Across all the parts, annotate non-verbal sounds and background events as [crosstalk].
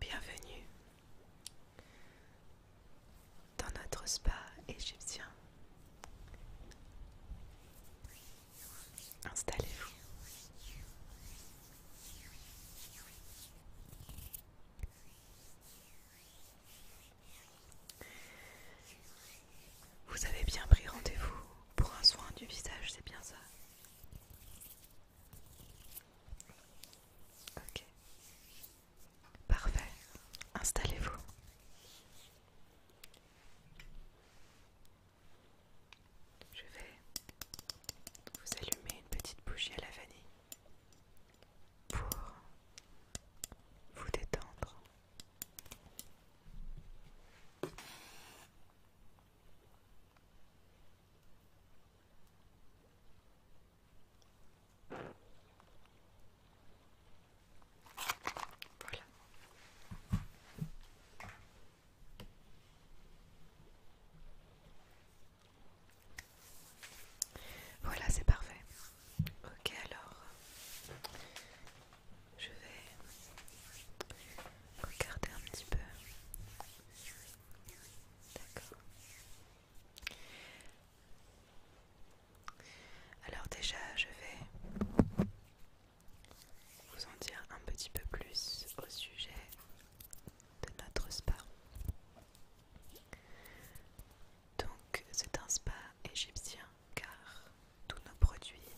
Bienvenue dans notre spa égyptien. Installez-vous. Vous avez bien pris rendez-vous pour un soin du visage, c'est bien ça Ok. Parfait. Installez-vous. Je vais vous allumer une petite bougie à la vanille pour vous détendre voilà. c'est parfait. Ok, alors je vais regarder un petit peu. D'accord. Alors déjà, je vais vous en dire un petit peu plus au sujet de notre spa. Donc c'est un spa égyptien car tous nos produits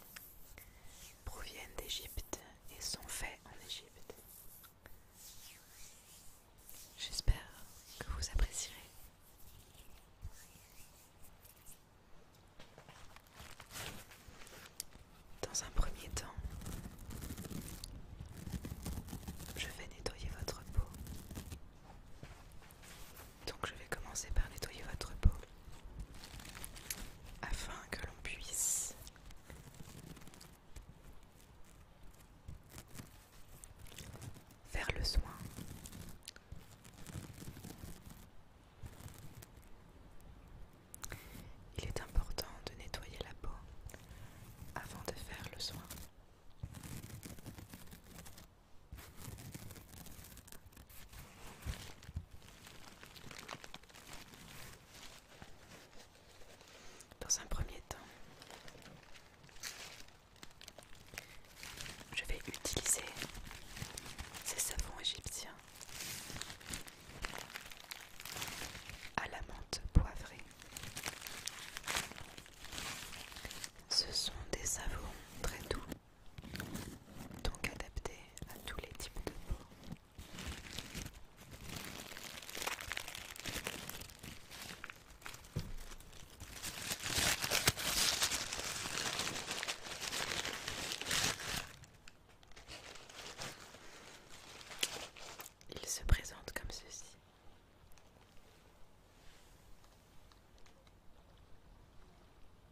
proviennent d'Égypte et sont faits en Égypte. J'espère que vous apprécierez. Dans un premier temps, je vais nettoyer votre peau donc je vais commencer par nettoyer votre peau afin que l'on puisse faire le soin. Il est important de nettoyer la peau avant de faire le soin. Dans un premier temps, je vais utiliser ces savons égyptiens à la menthe poivrée. Ce sont des savons très doux donc adapté à tous les types de peau. Il se présente comme ceci.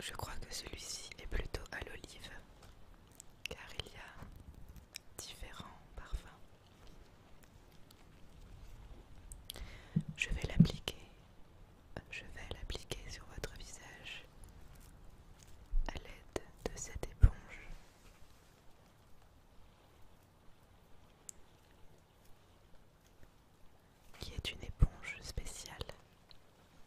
Je crois que celui-ci est plutôt à l'olive, car il y a différents parfums. Je vais l'appliquer. Je vais l'appliquer sur votre visage à l'aide de cette éponge. qui est une éponge spéciale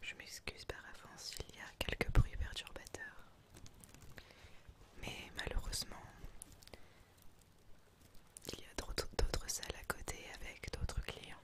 Je m'excuse par avance s'il y a quelques bruits perturbateurs. Mais malheureusement, il y a d'autres salles à côté avec d'autres clients.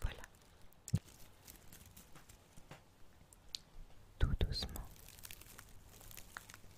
Voilà. Tout doucement,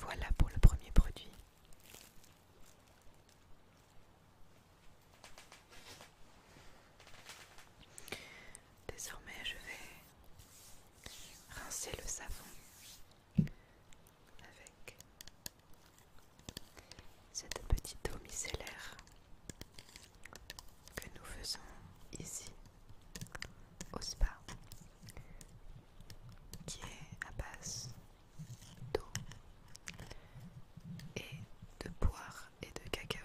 Voilà pour le premier produit. Désormais, je vais rincer le savon avec cette petite eau micellaire que nous faisons ici au spa qui est à base d'eau et de poire et de cacao.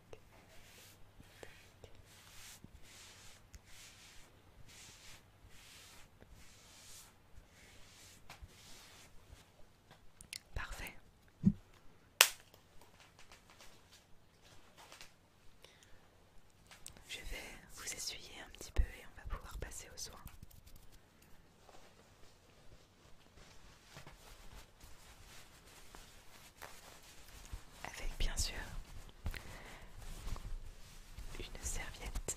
Parfait. Je vais vous essuyer un petit peu et on va pouvoir passer au soins. Avec bien sûr une serviette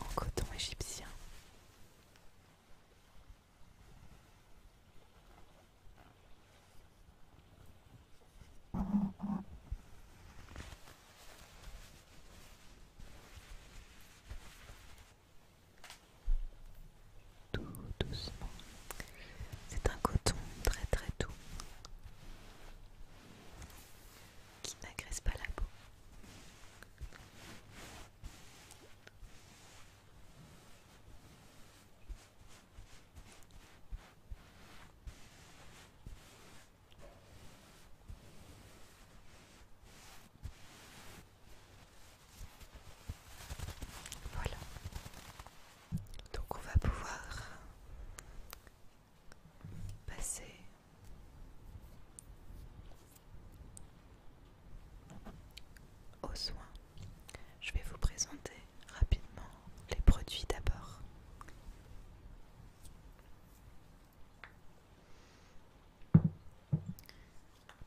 en coton égyptien tout doucement. C'est un coton très très doux qui n'agresse pas la peau. Voilà. Donc on va pouvoir passer aux soins. Je vais vous présenter rapidement les produits d'abord.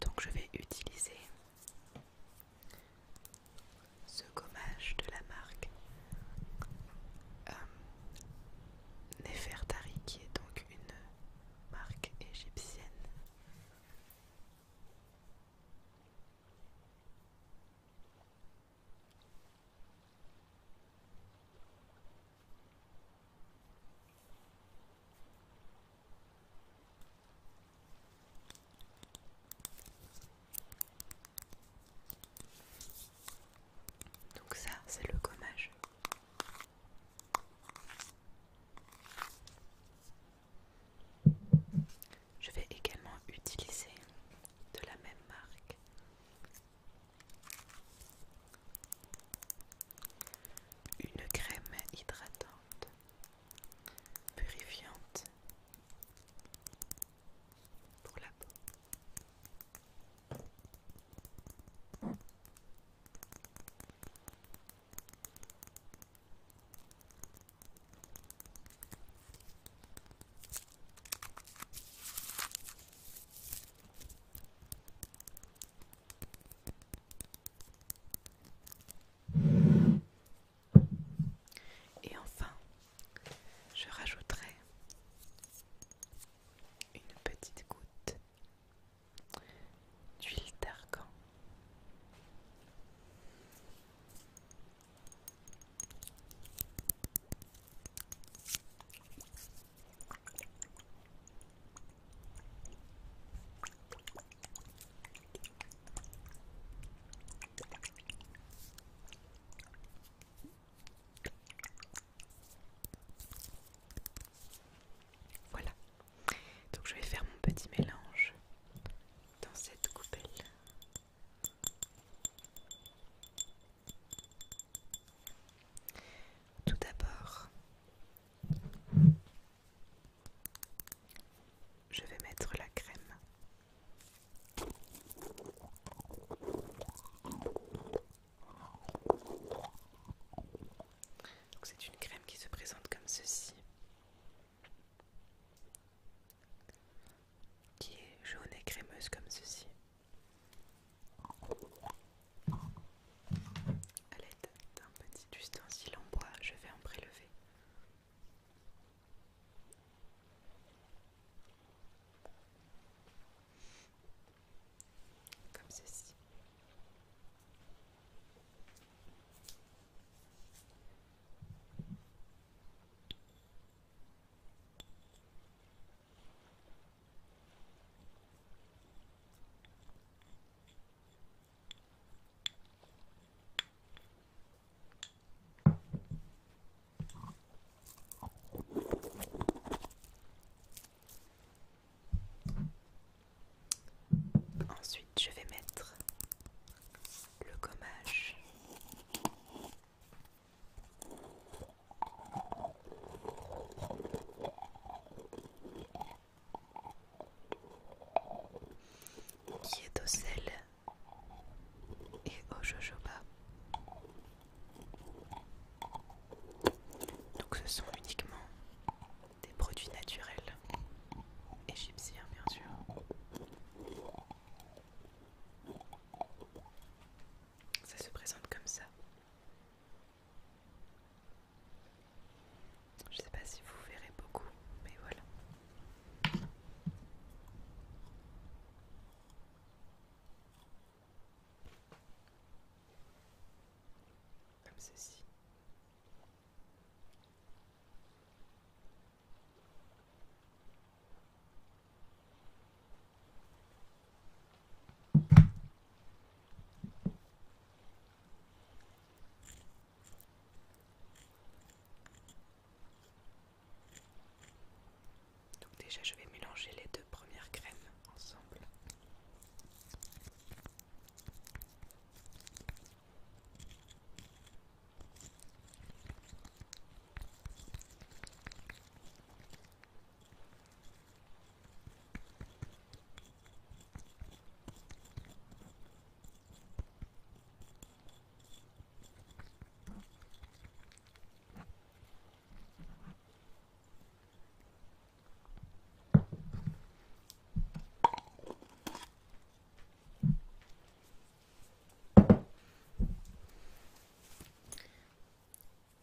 Donc je vais utiliser ce gommage de la marque euh, Nefertari, qui est donc une marque égyptienne. Donc ça, c'est le gommage. Je vais également utiliser de la même marque une crème hydratante purifiante pour la peau. Et enfin, je rajouterai une petite goutte d'huile d'argan. Voilà, donc je vais faire mon petit mélange dans cette coupelle. Tout d'abord, je vais mettre la crème. C'est une crème qui se présente comme ceci, qui est jaune et crémeuse comme ceci. A l'aide d'un petit ustensile en bois, je vais en prélever. Comme ceci. Ensuite, je vais mettre le gommage qui est au sel et au jojoba. Donc ce sont uniquement des produits naturels égyptiens bien sûr. Ça se présente comme ça. Je sais pas si vous verrez beaucoup, mais voilà. Comme ceci. Donc déjà je vais mélanger les deux premières crèmes ensemble.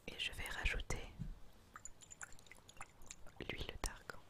Et je vais rajouter l'huile d'argan.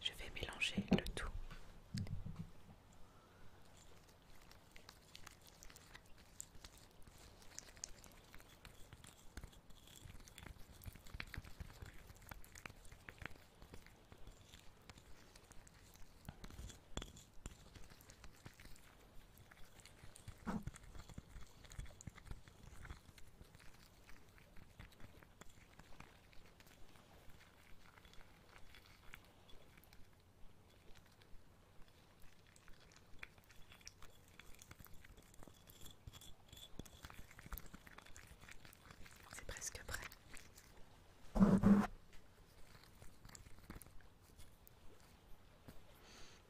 Je vais mélanger le tout. C'est presque prêt.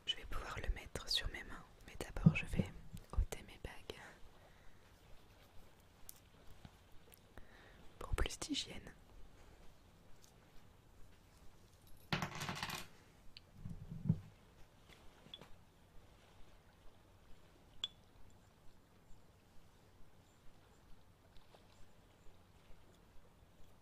Je vais pouvoir le mettre sur mes mains, mais d'abord je vais ôter mes bagues. Pour plus d'hygiène.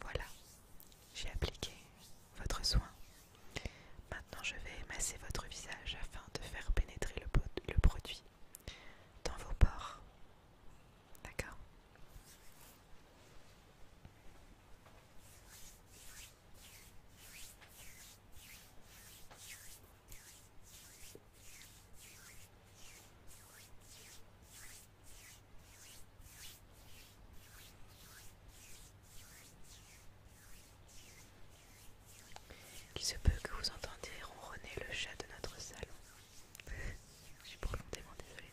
Voilà, j'ai appliqué votre soin. Maintenant, je vais masser votre visage afin de faire pénétrer le, produit dans vos pores. D'accord qui se peut que vous entendiez ronronner le chat de notre salon. [laughs] Je suis profondément désolée.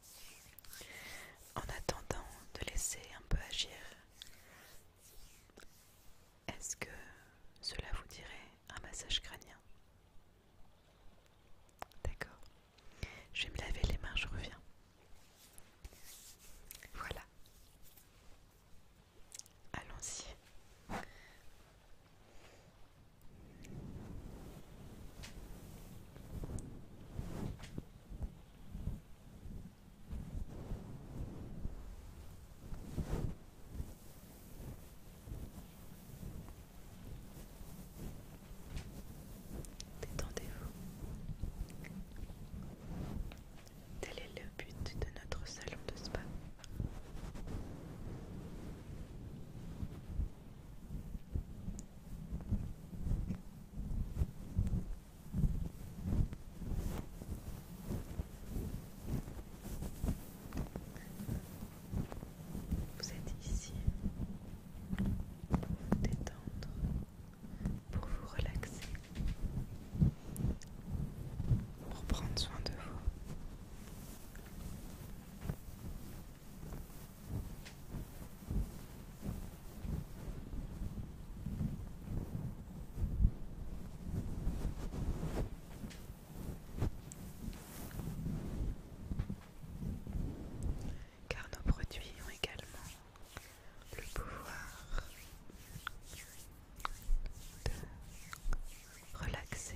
En attendant de laisser un peu agir, est-ce que cela vous dirait un massage crânien D'accord. Je vais me laver les mains, je reviens. Voilà. Allons-y. Détendez-vous. Tel est le but de notre salon de spa. Vous êtes ici pour vous détendre, pour vous relaxer, pour prendre soin de vous. Car nos produits ont également le pouvoir de relaxer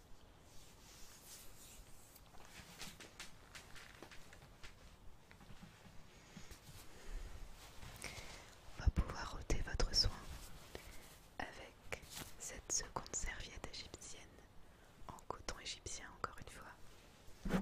On va pouvoir ôter votre soin avec cette seconde serviette égyptienne en coton égyptien encore une fois.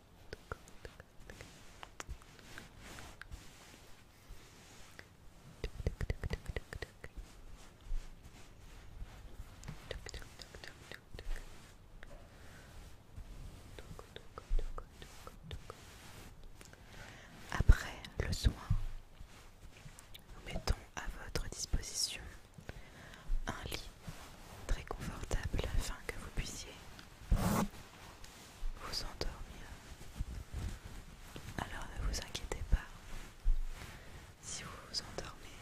Après le soin, nous mettons à votre disposition un lit très confortable afin que vous puissiez vous endormir. Alors ne vous inquiétez pas si vous vous endormez.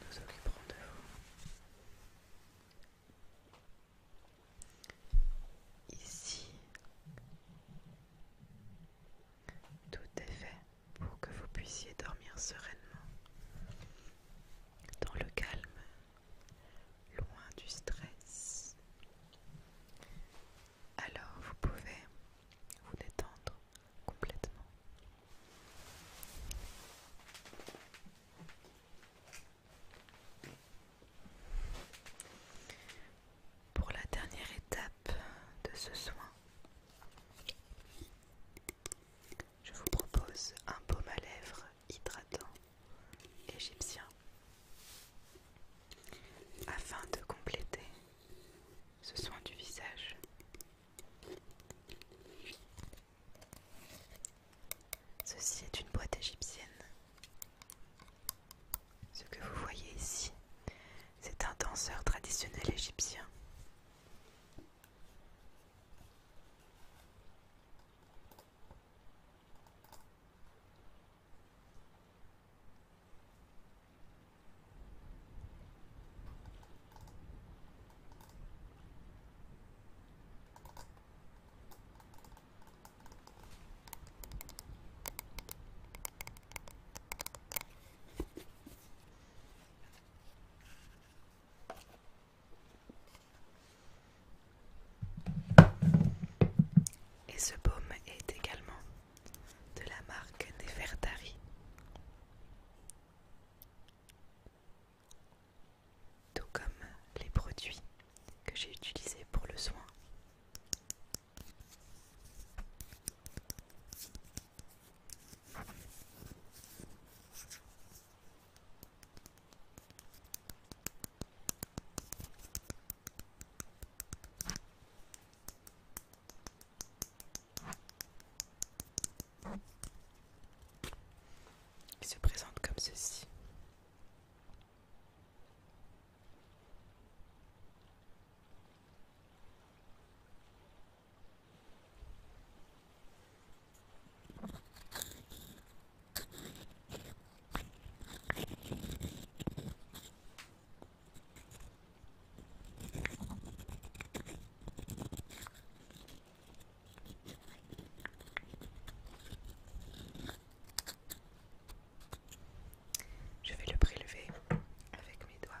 Nous occuperons de vous. Ici, tout est fait pour que vous puissiez dormir sereinement, dans le calme, loin du stress. Alors vous pouvez vous détendre complètement pour la dernière étape de ce soin, je vous propose un baume à lèvres hydratant égyptien afin de compléter ce soin du visage. Ceci est une boîte égyptienne ce que vous voyez ici, c'est un danseur traditionnel égyptien. Et ce baume est également de la marque des Fertari. Tout comme les produits que j'ai utilisés pour le soin qui se présente comme ceci. Je vais le prélever avec mes doigts.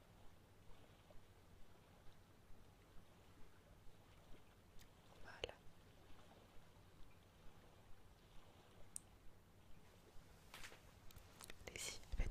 Voilà. Et si, faites.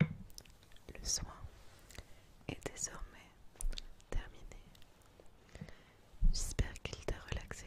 Le soin est désormais terminé. J'espère qu'il t'a relaxé.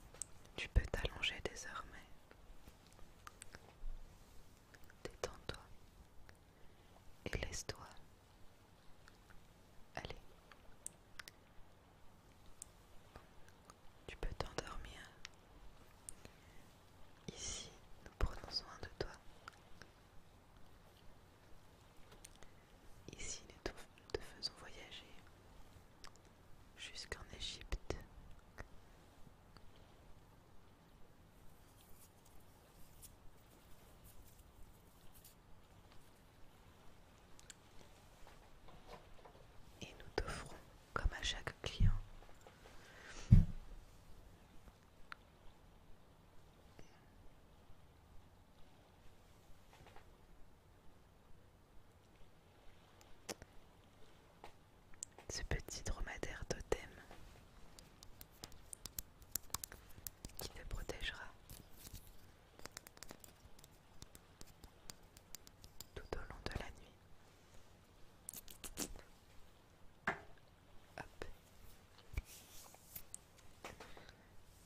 Tu peux t'allonger désormais. Détends-toi et laisse-toi. Allez. Tu peux t'endormir. Ici, nous prenons soin de toi. Ici, nous te faisons voyager jusqu'en Égypte. Et nous t'offrons, comme à chaque client, ce petit dromadaire totem qui te protégera tout au long de la nuit.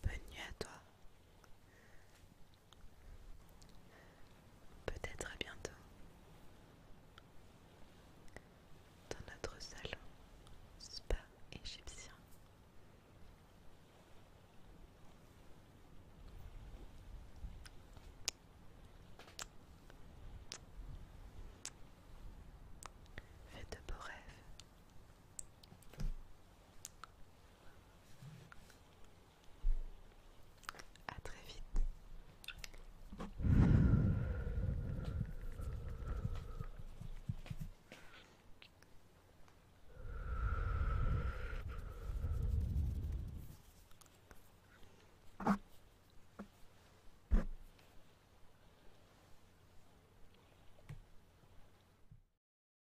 Bonne nuit à toi. Peut-être à bientôt dans notre salon spa égyptien. Faites de beaux rêves. À très vite.